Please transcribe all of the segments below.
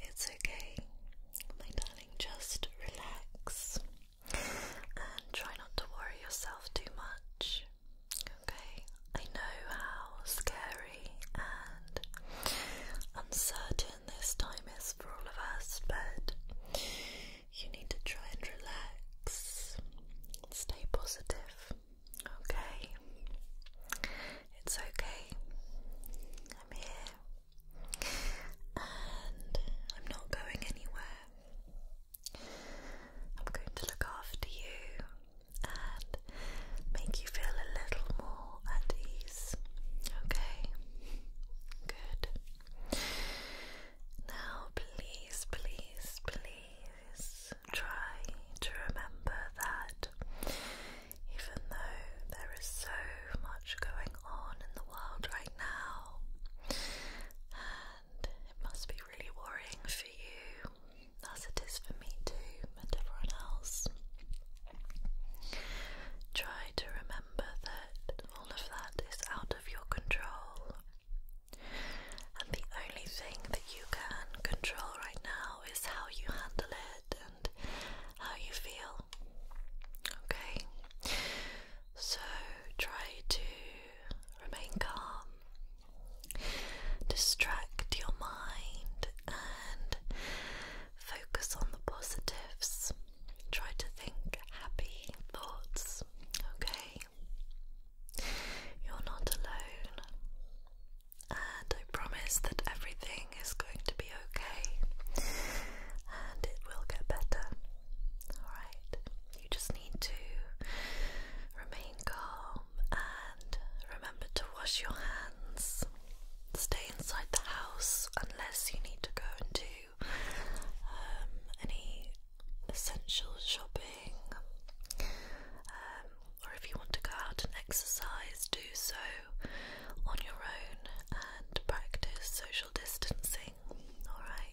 It's okay, my darling, just relax and try not to worry yourself too much okay? I know how scary and uncertain this time is for all of us, but you need to try and relax, stay positive, okay? It's okay, I'm here, and I'm not going anywhere. I'm going to look after you and make you feel a little more at ease. Okay? Good. Now, please, please, please try to remember that even though there is so much going on in the world right now, it must be really worrying for you, as it is for me too, and everyone else. Try to remember that all of that is out of your control, and the only thing that you can control right now is how you handle it and how you feel. Okay? So try to remain calm Distract your mind and focus on the positives. Try to think happy thoughts, okay? You're not alone, and I promise that everything is going to be okay and it will get better. Alright, you just need to remain remain calm and remember to wash your hands. Stay inside the house unless you need to go and do um, any essential shopping. Um, or if you want to go out and exercise, do so on your own and practice social distancing. Alright.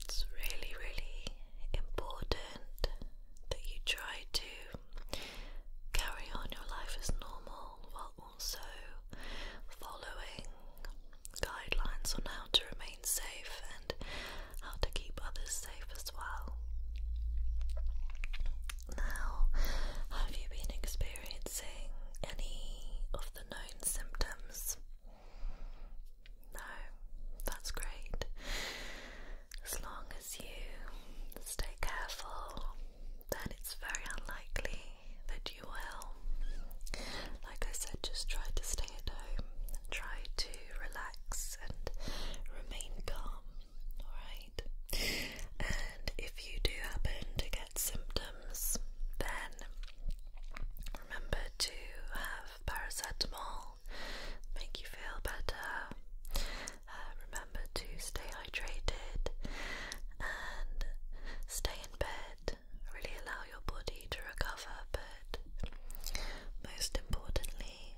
It's really, really important that you try to carry on your life as normal while also following guidelines on how to remain safe and how to keep others safe as well. Now, have you been experiencing any of the known symptoms no, that's great. As long as you stay careful, then it's very unlikely that you will. Like I said, just try to stay at home, try to relax and remain calm, alright? And if you do happen to get symptoms, then remember to have paracetamol, make you feel better. Uh, remember to stay hydrated and stay in bed. Really allow your body to recover, but most importantly,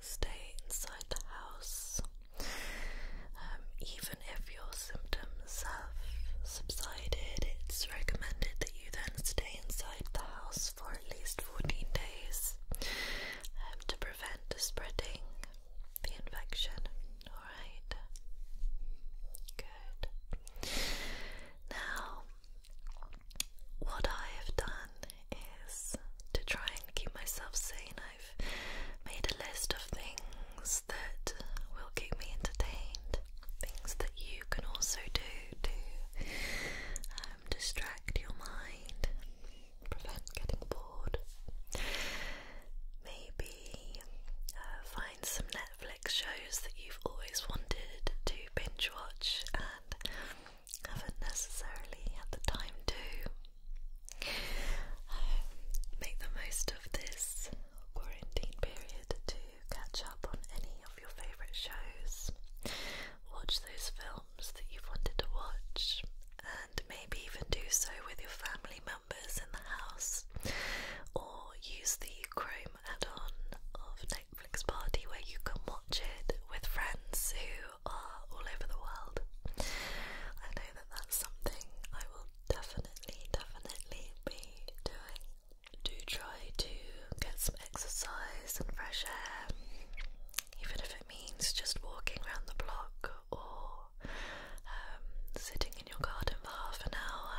stay inside the house. Um, even if your symptoms have subsided, it's recommended that you then stay inside the house for at least 14 days um, to prevent the spreading the infection. Alright. Good. Now, what I have done is to try and keep myself sane, I've made a list of things that will keep me entertained things that you can also do to um, distract your mind, prevent getting bored. Maybe uh, find some Netflix shows that you've always wanted to binge watch and haven't necessarily had the time to. Um, make the most of this quarantine period to catch up on any your favourite shows, watch those films that you've wanted to watch, and maybe even do so with your family members in the house, or use the Chrome add on of Netflix Party where you can watch it with friends who are all over the world. I know that that's something I will definitely, definitely be doing do try to get some exercise and fresh air, even if it means just walking around the block or um, sitting in your garden for half an hour.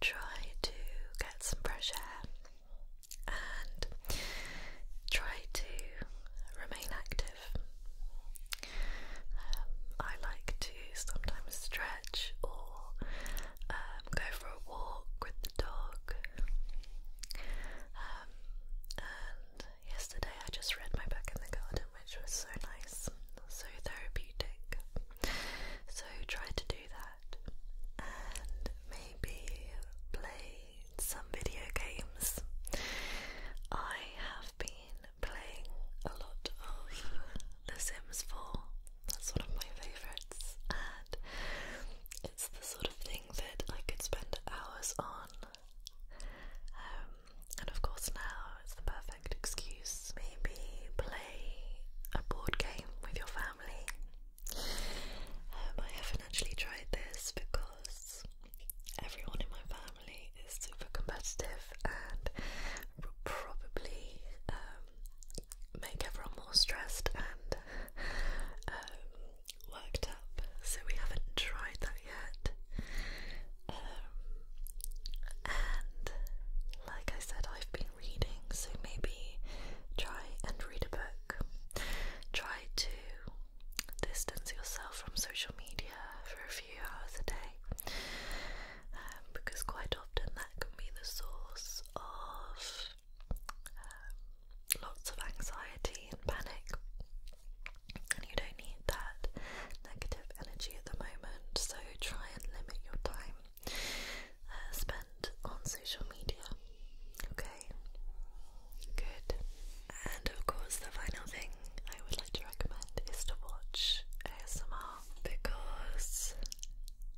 Try to get some fresh air and try to remain active. Um, I like to sometimes stretch or um, go for a walk with the dog. Um, and yesterday I just read my book in the garden, which was so nice, so therapeutic. So try to do that, and maybe play some video games. I have been playing a lot of the Sims 4. That's one of my favourites, and it's the sort of thing that I could spend hours on. Um, and of course, now it's the perfect excuse. Maybe play a board game with your family. Um, I haven't actually tried this because everyone in my family is super competitive and probably um, make everyone more stressed and um, worked up. So we haven't tried that yet. Um, and like I said, I've been reading, so maybe try and read a book. Try to distance yourself from social media for a few hours a day. Um, because quite often that can be the source of um, lots of anxiety and panic, and you don't need that negative energy at the moment. So try and limit your time uh, spent on social media. Okay, good. And of course, the final thing I would like to recommend is to watch ASMR because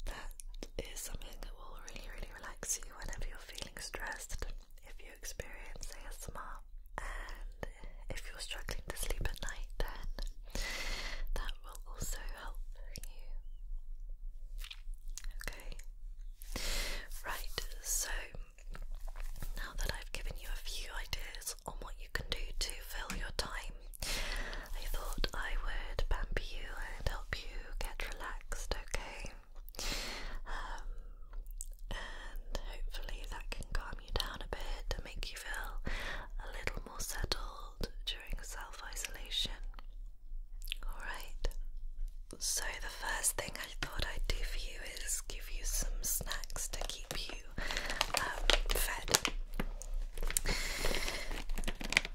that is something that will really, really relax you whenever you're feeling stressed. If you experience ASMR and if you're struggling to sleep at night, then that will also help you. Okay. Right, so now that I've given you a few ideas on what you can do to fill your time. I thought I would pamper you and help you get relaxed, okay? Um, and hopefully that can calm you down a bit and make you feel a little more settled during self isolation. Alright, so the first thing I thought I'd do for you is give you some snacks to keep you um,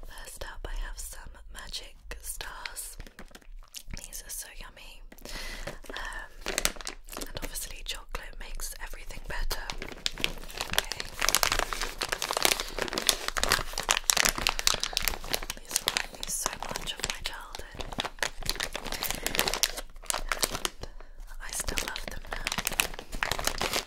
First up, I have some magic stars. These are so yummy. Um, and obviously, chocolate makes everything better. These remind me so much of my childhood. I still love them now. Okay, those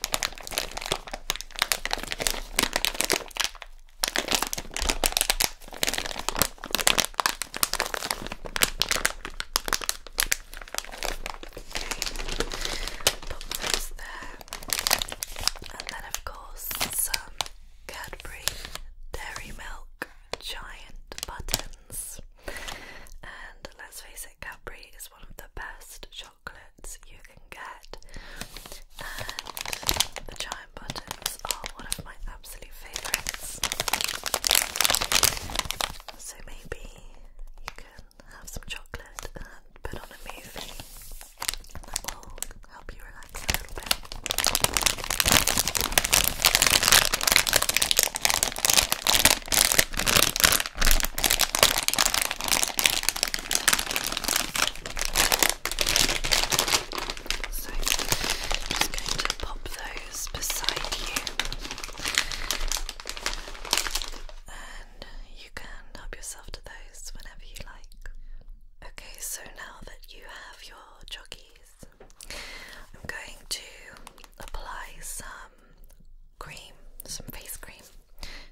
there. And then, of course, some Cadbury Dairy Milk giant buttons. And let's face it, Cadbury is one of the best chocolate chocolates you can get. And the giant buttons are one of my absolute favourites. So maybe you can have some chocolate and put on a movie. That will help you relax a little bit. So just going to pop those beside you and you can help yourself to those whenever you like. Okay, so now that you have your jockeys, I'm going to apply some cream, some face cream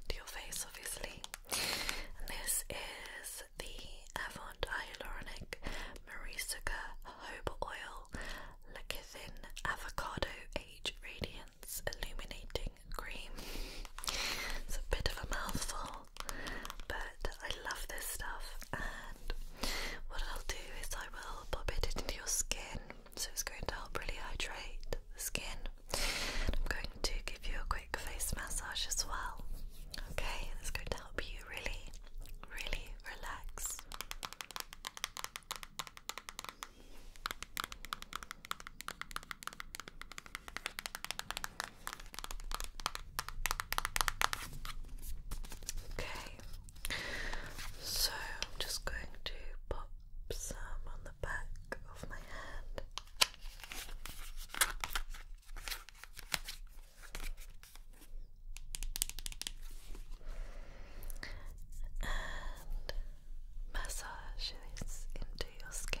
to your face, obviously. And this is the Avant Hyaluronic Marisica Jojoba Oil Lecithin Avocado Age Radiance Illuminating Cream. It's a bit of a mouthful, but I love this stuff. And what I'll do is I will pop it into your skin so it's going to help really hydrate the skin. And I'm going to give you a quick face massage as well. Okay, it's going to help you really, really relax. Okay, so I'm just going to pop some on the back of my hand. And massage this into your skin.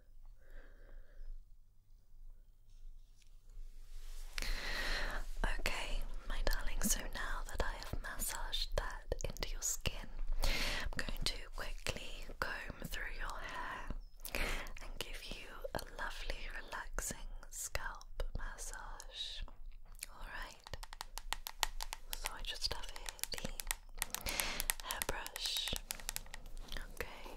Okay, my darling, so now that I have massaged that into your skin, I'm going to quickly comb through your hair and give you a lovely, relaxing scalp massage. Alright, so I just have the hairbrush. Okay.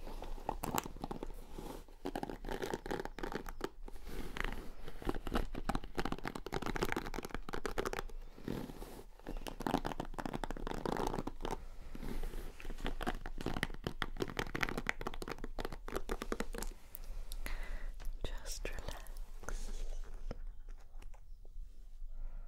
Just relax.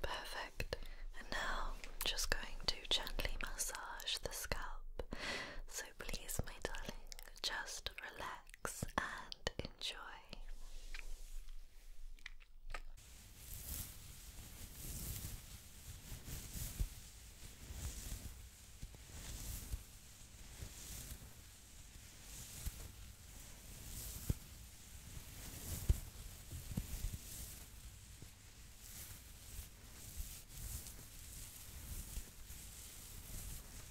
Perfect. And now I'm just going to gently massage the scalp. So please, my darling, just relax relax and enjoy.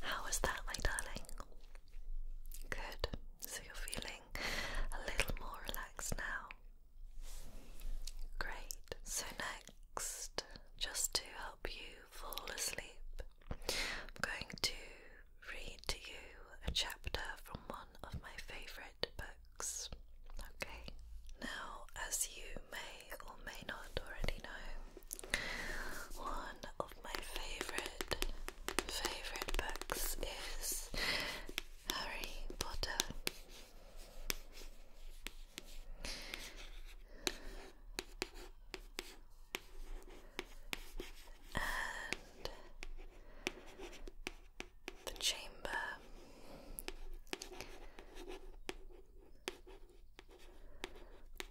How was that, my darling? Good. So you're feeling a little more relaxed now. Great. So next, just to help you fall asleep, I'm going to read to you a chapter from one of my favourite books. Okay, now, as you may or may not already know, one of my favourite, favourite books is Harry Potter and the chamber.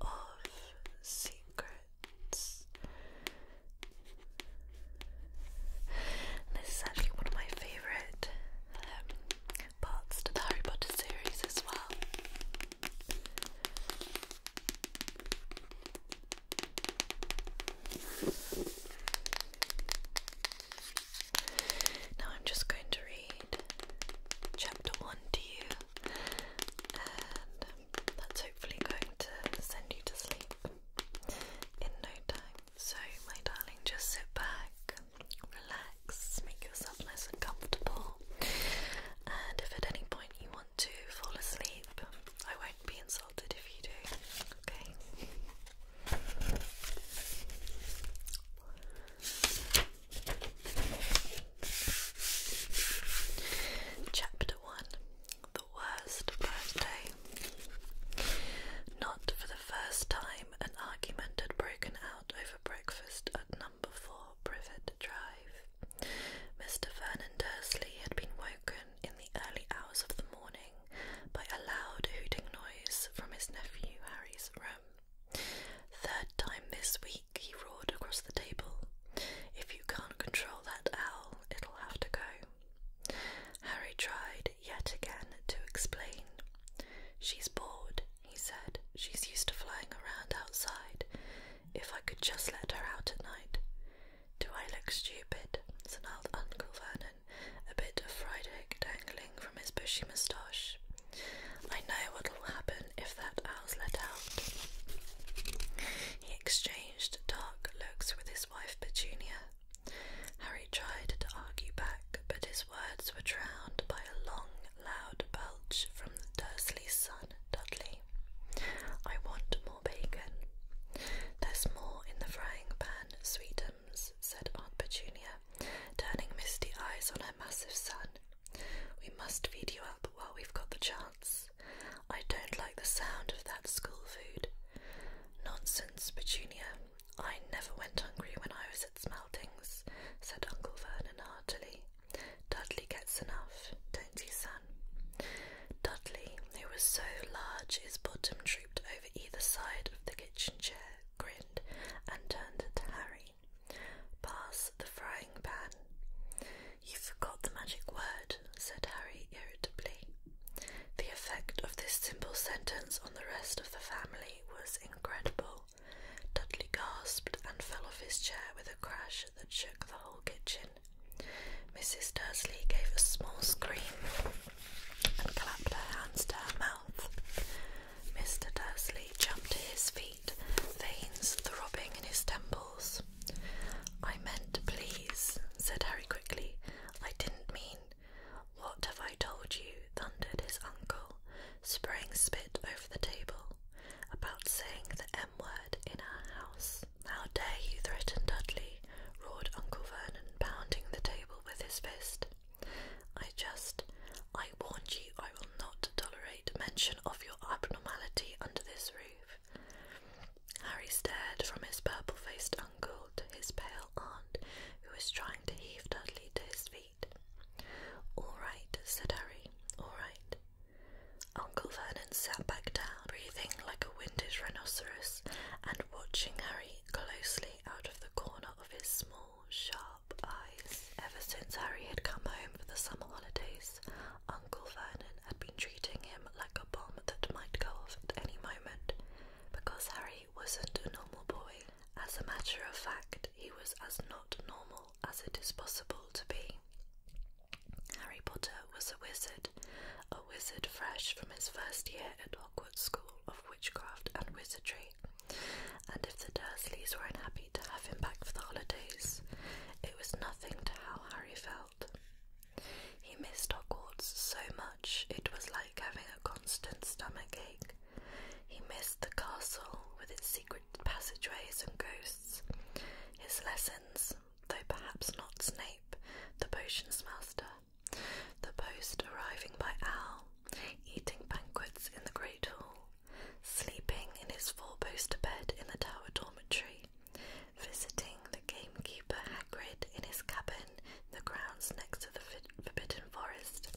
Of secrets. This is actually one of my favourite um, parts to the Harry Potter series as well. Now I'm just going to read chapter one to you, and um, that's hopefully going to send you to sleep in no time. So, my darling, just sit back, relax, make yourself nice and comfortable, and if at any point you want to fall asleep. I won't be insulted if you do. Okay. Chapter 1 The Worst Birthday. Not for the first time, an argument had broken out over breakfast at 9 number Privet Drive. Mr. Vernon Dursley had been woken in the early hours of the morning by a loud hooting noise from his nephew Harry's room. Third time this week, he roared across the table. If you can't control that owl, it'll have to go. Harry tried yet again to explain. She's bored, he said. She's used to flying around outside. If I could just let her out at night. Do I look stupid? snarled Uncle Vernon, a bit of fried egg dangling from his bushy moustache. I know what'll happen if that owl's let out. He exchanged dark looks with his wife Petunia. Harry tried to argue back, but his words were drowned by a long loud belch from the Dursley son, Dudley. I want more bacon. There's more in the frying pan, sweetums, said Aunt Petunia, turning misty eyes on her massive son. We must feed you up while we've got the chance. I don't like the sound of that school food. Nonsense, Petunia. I never went hungry when I was at Smeltings, said Uncle Vernon heartily. Dudley gets enough, don't he, son? Dudley, who was so large his bottom drooped over either side of the kitchen chair, grinned and turned to Harry. Pass the frying pan. You forgot the magic word, said Harry irritably. The effect of this simple sentence on the rest of the family was incredible. Dudley gasped and fell off his chair with a crash that shook the whole kitchen. Mrs. Dursley gave a small scream and clapped her hands to her mouth. Mr. Dursley jumped to his feet, veins throbbing in his temples. I meant to please, said Harry quickly. I didn't mean. What have I told you? thundered his uncle spraying spit over the table, about saying the M word in our house. How dare you threaten Dudley? roared Uncle Vernon, pounding the table with his fist. I just, I warned you I will not tolerate mention of your abnormality under this roof. Harry stared from his purple faced uncle to his pale aunt, who was trying to heave Dudley to his feet. All right, said Harry. All right. Uncle Vernon sat back down, breathing like a winded rhinoceros and watching Harry closely out of the corner of his small, sharp eyes. Ever since Harry had come home for the summer holidays, Uncle Vernon had been treating him like a bomb that might go off at any moment because Harry wasn't a normal boy. As a matter of fact, he was as not normal as it is possible to be. Harry Potter was a wizard, a wizard fresh from his first year at Hogwarts School of Witchcraft and Wizardry, and if the Dursleys were unhappy to have him back for the holidays, it was nothing to how Harry felt. He missed Hogwarts so much it was like having a constant stomach ache. He missed the castle with its secret passageways and ghosts. His lessons, though perhaps not Snape, the potions master, the post arriving by owl, eating banquets in the great hall, sleeping in his four-poster bed in the tower dormitory, visiting the gamekeeper Hagrid in his cabin in the grounds next to the Forbidden Forest,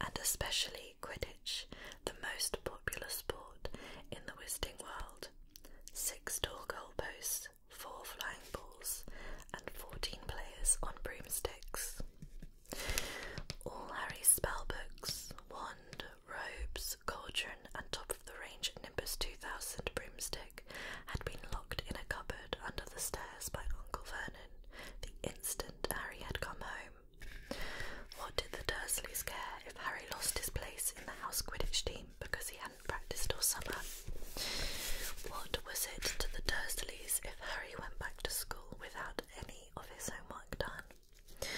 and especially Quidditch, the most popular sport in the wizarding world. Six tall goalposts, four flying balls, and 14 players on broomsticks. All Harry's spellbooks, wand, robes, cauldron, and top of the range Nimbus 2000 broomstick had been locked in a cupboard under the stairs by Uncle Vernon the instant Harry had come home. What did the Dursleys care if Harry lost his place in the house Quidditch team because he hadn't practiced all summer? What was it to the Dursleys if Harry went back to school without any of his homework done?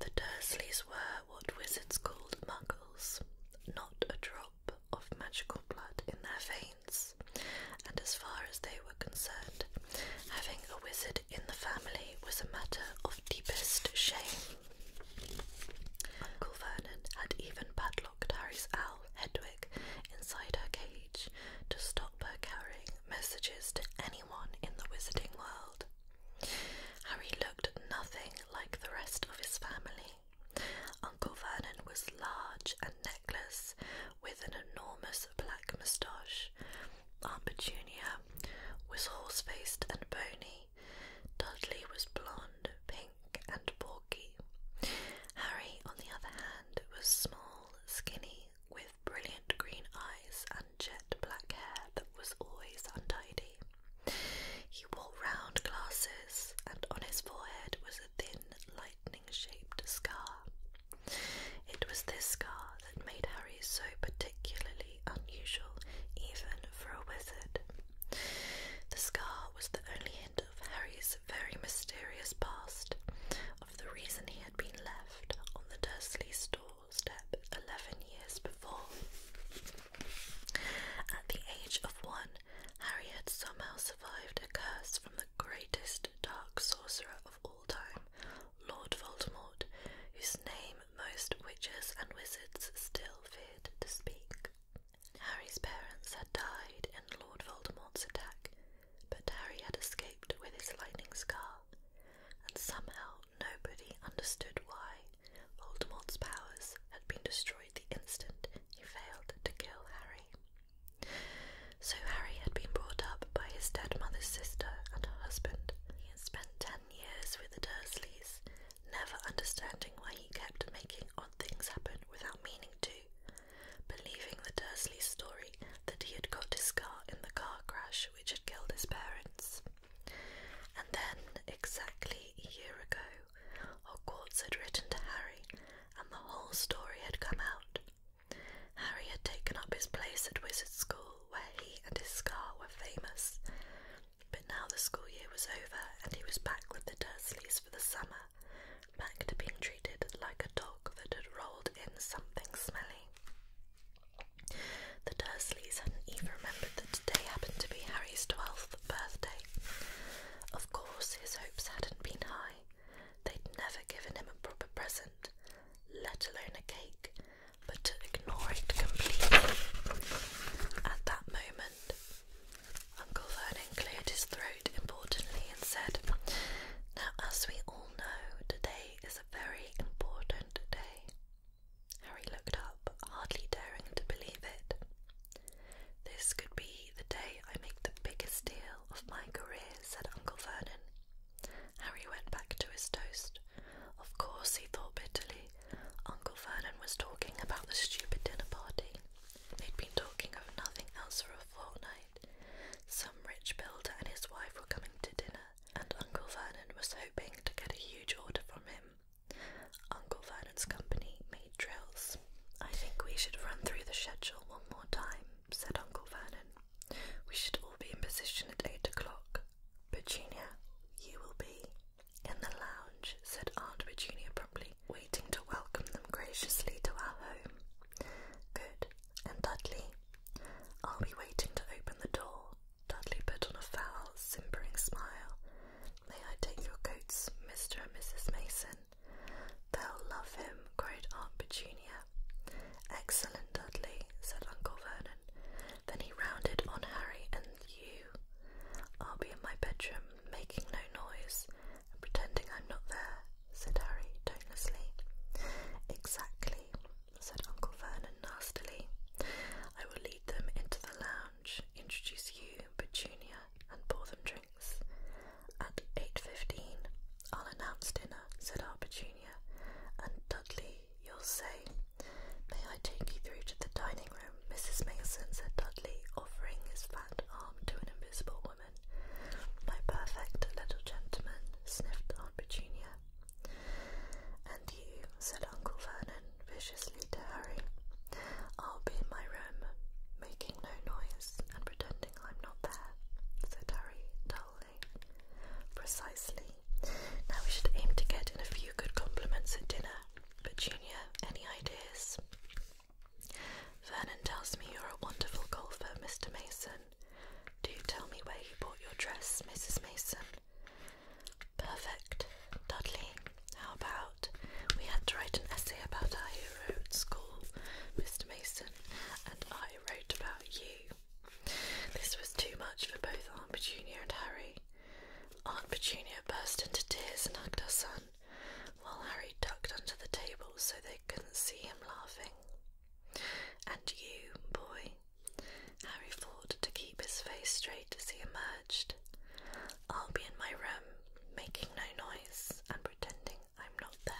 The Dursleys were what wizards called muggles, not a drop of magical blood in their veins, and as far as they were concerned, having a wizard in the family was a matter of deepest shame. Uncle Vernon had even padlocked Harry's owl, Hedwig, inside her cage to stop her carrying messages to anyone in the wizarding world. Harry looked nothing like the rest of his family. Uncle Vernon was large and neckless, with an enormous black moustache. Aunt Junior was horse faced and bony. Dudley was blond, pink, and porky. Harry, on the other hand, was small, skinny, with brilliant green eyes and jet black hair that was always untidy. He wore round glasses, and on his forehead was a thin, lightning shaped scar. It was this scar that made Harry so particularly unusual, even for a wizard. The scar was the only hint of Harry's very mysterious past, of the reason he had been left on the Dursley's doorstep eleven years before. At the age of one, Harry had somehow survived a curse from the greatest dark sorcerer of all time, Lord Voldemort, whose name most witches and wizards still feared to speak. Harry's parents had died in Lord Voldemort's attack, but Harry had escaped with his lightning scar, and somehow nobody understood why Voldemort's powers had been destroyed the instant he failed to kill Harry. So Harry had been brought up by his dead mother's sister and her husband. He had spent ten years with the Dursleys, never understanding why he kept making odd things happen without meaning to, believing the Dursleys' story that he had got his scar in the car crash which had killed his parents. And then, exactly a year ago, Hogwarts had written to Harry, and the whole story had come out. Harry had taken up his place at Wizard School, where he and his scar were famous. But now the school year was over, and he was back with the Dursleys for the summer, back to being treated like a dog that had rolled in something smelly. The Dursleys hadn't even remembered that today happened to be Harry's twelfth birthday. Of course, his hopes hadn't been high, They'd never given him a proper present, let alone a cake, but to ignore it completely. At that moment, Uncle Vernon cleared his throat importantly and said, Now, as we all know, today is a very important day. Harry looked up, hardly daring to believe it. This could be the day I make the biggest deal of my career, said Uncle Vernon. Harry went back to his toast. Of course, he thought bitterly, Uncle Vernon was talking about the stupid dinner party. They'd been talking of nothing else for a fortnight. Some rich builder and his wife were coming to dinner, and Uncle Vernon was hoping to get a huge order from him. Uncle Vernon's company made drills. I think we should run through the schedule one more time, said Uncle Vernon. We should all be in position at eight o'clock. Virginia, you will be in the lounge, said Aunt Virginia promptly, waiting to welcome them graciously to our home. Good. And Dudley? I'll be waiting to open the door. Dudley put on a foul, simpering smile. May I take your coats, Mr. and Mrs. Mason? They'll love him, cried Aunt Virginia. Excellent, Dudley, said Uncle Vernon. Then he rounded on Harry and you. I'll be in my bedroom, making no noise, and pretending I'm not there, said Harry tonelessly. Exactly, said Uncle Vernon nastily. I will lead them into the lounge, introduce you, Petunia, and pour them drinks. At eight fifteen, I'll announce dinner, said Arpetunia, and Dudley, you'll say. May I take you through to the dining room, Mrs. Mason, said Dudley, offering his fat arm to an invisible woman. My perfect little gentleman, sniffed Aunt Petunia. And you, said Uncle Vernon viciously to Harry. I'll be in my room, making no noise and pretending I'm not there, said Harry dully. Precisely. Now we should aim to get in a few good compliments at dinner. But Junior, any ideas? Vernon tells me you're a wonderful golfer, Mr. Mason. Do you tell me where you bought your dress, Mrs. Mason? Perfect. Dudley, how about we had to write an essay about our hero at school, Mr. Mason, and I wrote about you. This was too much for both Aunt Petunia and Harry. Aunt Petunia burst into tears and hugged her son, while Harry ducked under the table so they couldn't see him laughing. And you, boy, Harry fought to keep his face straight as he emerged. I'll be in my room, making no noise and pretending I'm not there.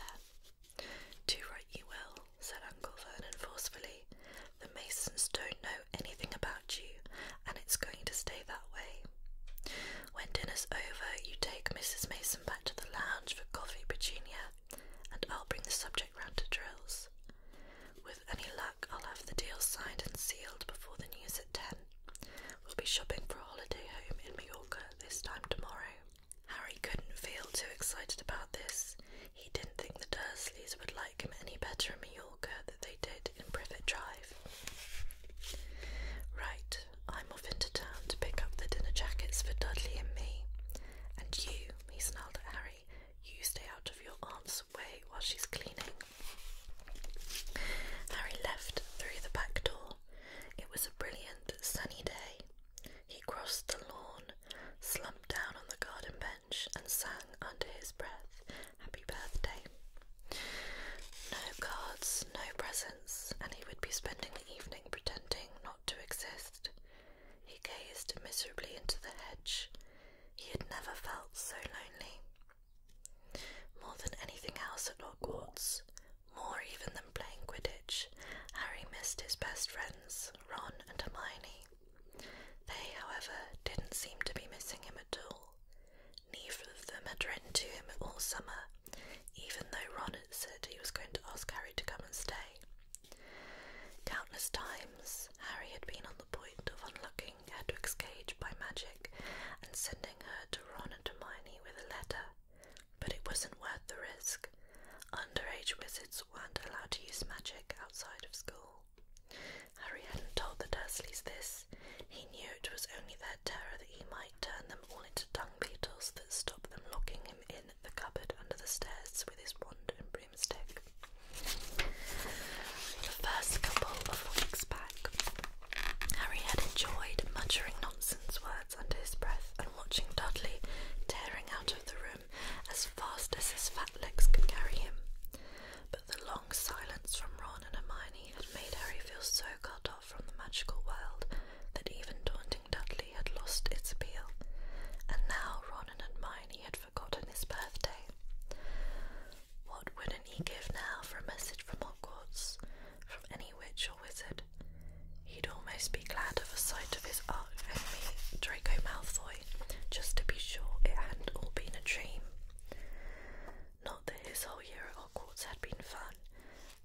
Do right you will, said Uncle Vernon forcefully. The Masons don't know anything about you, and it's going to stay that way. When dinner's over, you take Mrs. Mason back to the lounge for coffee, Petunia, and I'll bring the subject round to drills. With any luck, I'll have the deal signed and sealed before the news at ten. We'll be shopping for a holiday home in Mallorca this time tomorrow. Harry couldn't feel too excited about this. He didn't think the Dursleys would like him any better in Mallorca than they did in Privet Drive. Right, I'm off into town to pick up the dinner jackets for Dudley and me. And you, he snarled at Harry, you stay out of your aunt's way while she's cleaning. Harry left through the back door. It was a brilliant, sunny day. He crossed the lawn, slumped down on the garden bench, and sang under his breath, Happy birthday. No cards, no presents, and he would be spending the evening pretending not to exist. He gazed miserably into the hedge. He had never felt so lonely. More than anything else at Hogwarts, more even than playing Quidditch, Harry missed his best friends, Ron and Hermione. They, however, didn't seem to be missing him at all. Neither of them had written to him all summer, even though Ron had said he was going to ask Harry to come and stay. Countless times, Harry had been on the point of unlocking Hedwig's cage by magic and sending her to Ron and Hermione with a letter, but it wasn't worth the risk. Underage wizards weren't allowed to use magic outside of school. Harry hadn't told the Dursleys this. He knew it was only their terror that he might turn them all into dung beetles that stopped them locking him in the cupboard under the stairs with his wand and broomstick. The first couple of weeks back, Harry had enjoyed muttering nonsense words under his breath and watching Dudley tearing out of the room as fast as his fat legs could carry him. But the long silence from Ron and Hermione had made Harry feel so cut off from the magical world that even taunting Dudley had lost its appeal, and now Ron and Hermione had forgotten his birthday. What wouldn't he give now for a message from Hogwarts? from any witch or wizard. He'd almost be glad of a sight of his arch enemy, Draco Malfoy, just to be sure it hadn't all been a dream. Not that his whole year at Hogwarts had been fun.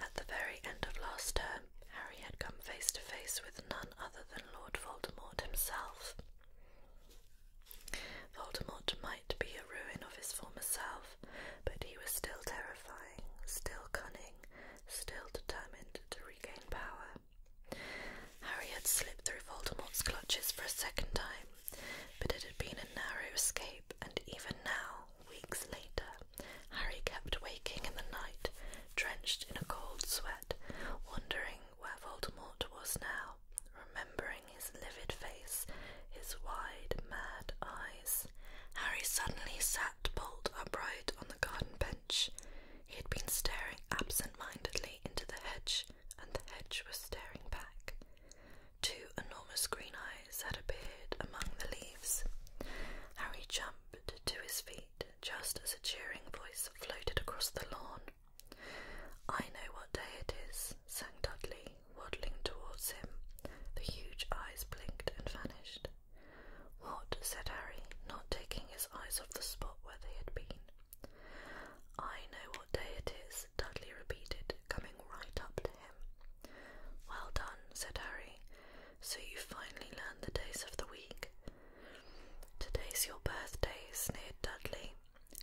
At the very end of last term, Harry had come face to face with none other than Lord Voldemort himself. Voldemort might be a ruin of his former self, but he was still terrifying, still cunning, still determined to regain power. Harry had slipped through Voldemort's clutches for a second time, but it had been a narrow escape, and even now, weeks later, Harry kept waking in the night, drenched in a cold sweat, wondering where Voldemort was now, remembering his livid face, his wide, mad eyes. Harry suddenly sat bolt upright on the garden bench. He had been staring absent mindedly into the hedge, and the hedge was staring back. Two enormous green eyes had appeared among the leaves. Harry jumped to his feet just as a cheering voice floated across the lawn. I know what day it is, sang Dudley, waddling towards him. The huge eyes blinked and vanished. What? said Harry, not taking his eyes off the spot where they had been. I know what day it is, Dudley repeated, coming right up to him. Well done, said Harry. So you finally learned the days of the week. Today's your birthday, sneered Dudley.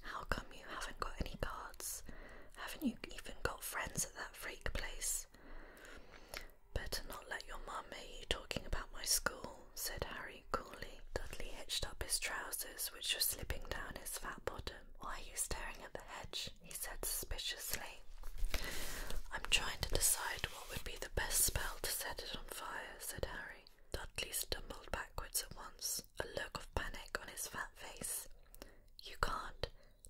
How come you haven't got any cards? Haven't you even got friends at that freak place? Better not let your mum hear you talking about my school, said Harry coolly. Dudley hitched up his trousers, which were slipping down his fat bottom. Why are you staring at the hedge? he said suspiciously. I'm trying to decide what would be the best spell to set it on fire, said Harry. Dudley stumbled backwards at once, a look of panic on his fat face. You can't,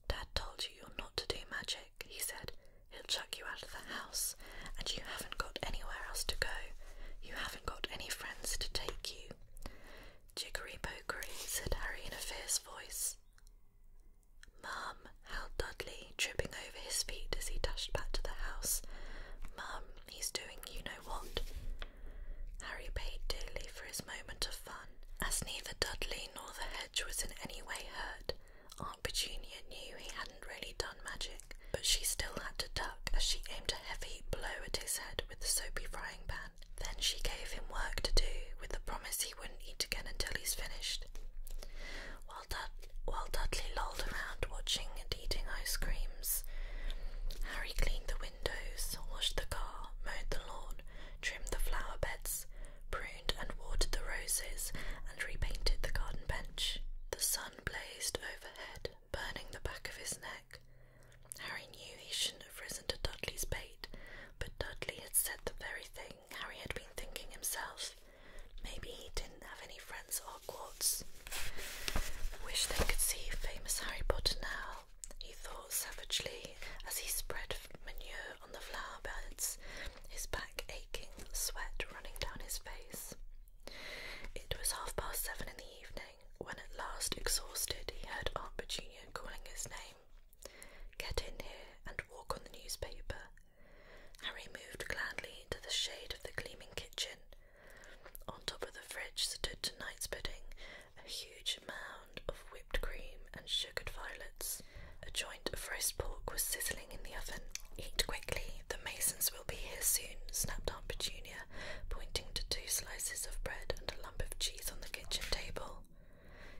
Dad told you you're not to do magic, he said. He'll chuck you out of the house, and you haven't got anywhere else to go. You haven't got any friends to take you. Jiggery pokery, said Harry in a fierce voice. Mum, howled Dudley, tripping over his feet as he dashed back to the house. Mum, he's doing you know what. Harry paid dearly for his moment of fun, as neither Dudley nor the hedge was in any way hurt. Aunt Petunia knew he hadn't really done magic, but she still had to duck as she aimed a heavy blow at his head with the soapy frying pan. Then she gave him work to do with the promise he wouldn't eat again until he's finished. While, Dudley lolled around watching and eating ice creams, Harry cleaned the windows, washed the car, mowed the lawn, trimmed the flower beds, pruned and watered the roses and repainted the garden bench. The sun blazed overhead, burning the back of his neck. Harry knew he shouldn't have risen to Dudley's bait, but Dudley had said the very thing Harry had been thinking himself. Maybe he didn't have any friends at Hogwarts. Wish they could see famous Harry Potter now, he thought savagely as he spread manure on the flowerbeds, his back aching, sweat running down his face. It was half past seven in the evening when, at last exhausted, he heard Aunt Virginia calling his name. Get in here and walk on the newspaper. Harry moved gladly into the shade of the gleaming kitchen. On top of the fridge stood tonight's pudding, a huge mound of whipped cream and sugared violets. A joint of roast pork was sizzling in the oven. Eat quickly, the masons will be here soon, snapped Aunt Petunia, pointing to two slices of bread and a lump of cheese on the kitchen table.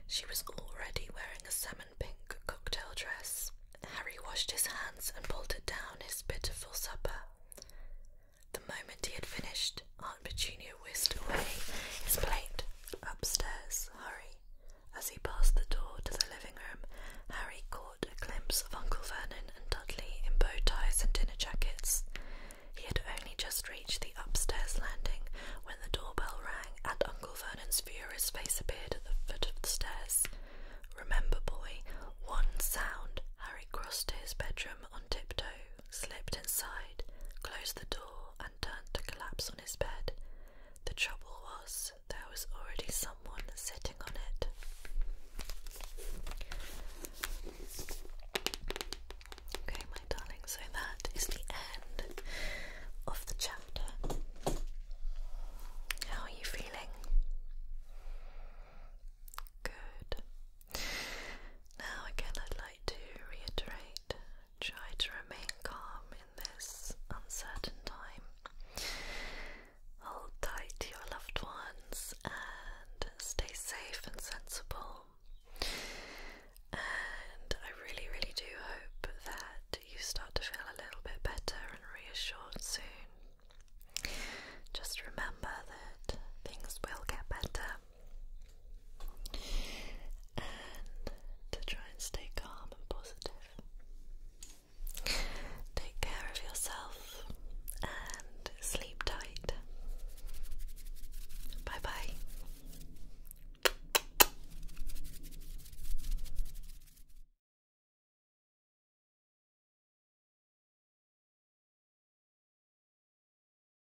She was already wearing a salmon pink cocktail dress. Harry washed his hands and bolted down his pitiful supper. The moment he had finished, Aunt Petunia whisked away his plate. Upstairs, hurry. As he passed the door to the living room, Harry caught a glimpse of Uncle Vernon and Dudley in bow ties and dinner jackets. He had only just reached the upstairs landing when the doorbell rang and Uncle Vernon's furious face appeared at the foot of the stairs. Remember, boy, one sound. Harry crossed to his bedroom on tiptoe, slipped inside, closed the door, and turned to collapse on his bed. The trouble was, there was already someone sitting on it. Okay, my darling, so that is the end of the chapter. How are you feeling? Good. Now, again, I'd like to reiterate Try to remain calm in this uncertain time. Hold tight to your loved ones and stay safe and sensible. And I really, really do hope that you start to feel a little bit better and reassured soon. Just remember that things will get better and to try and stay calm and positive. Take care of yourself and sleep tight. Bye bye.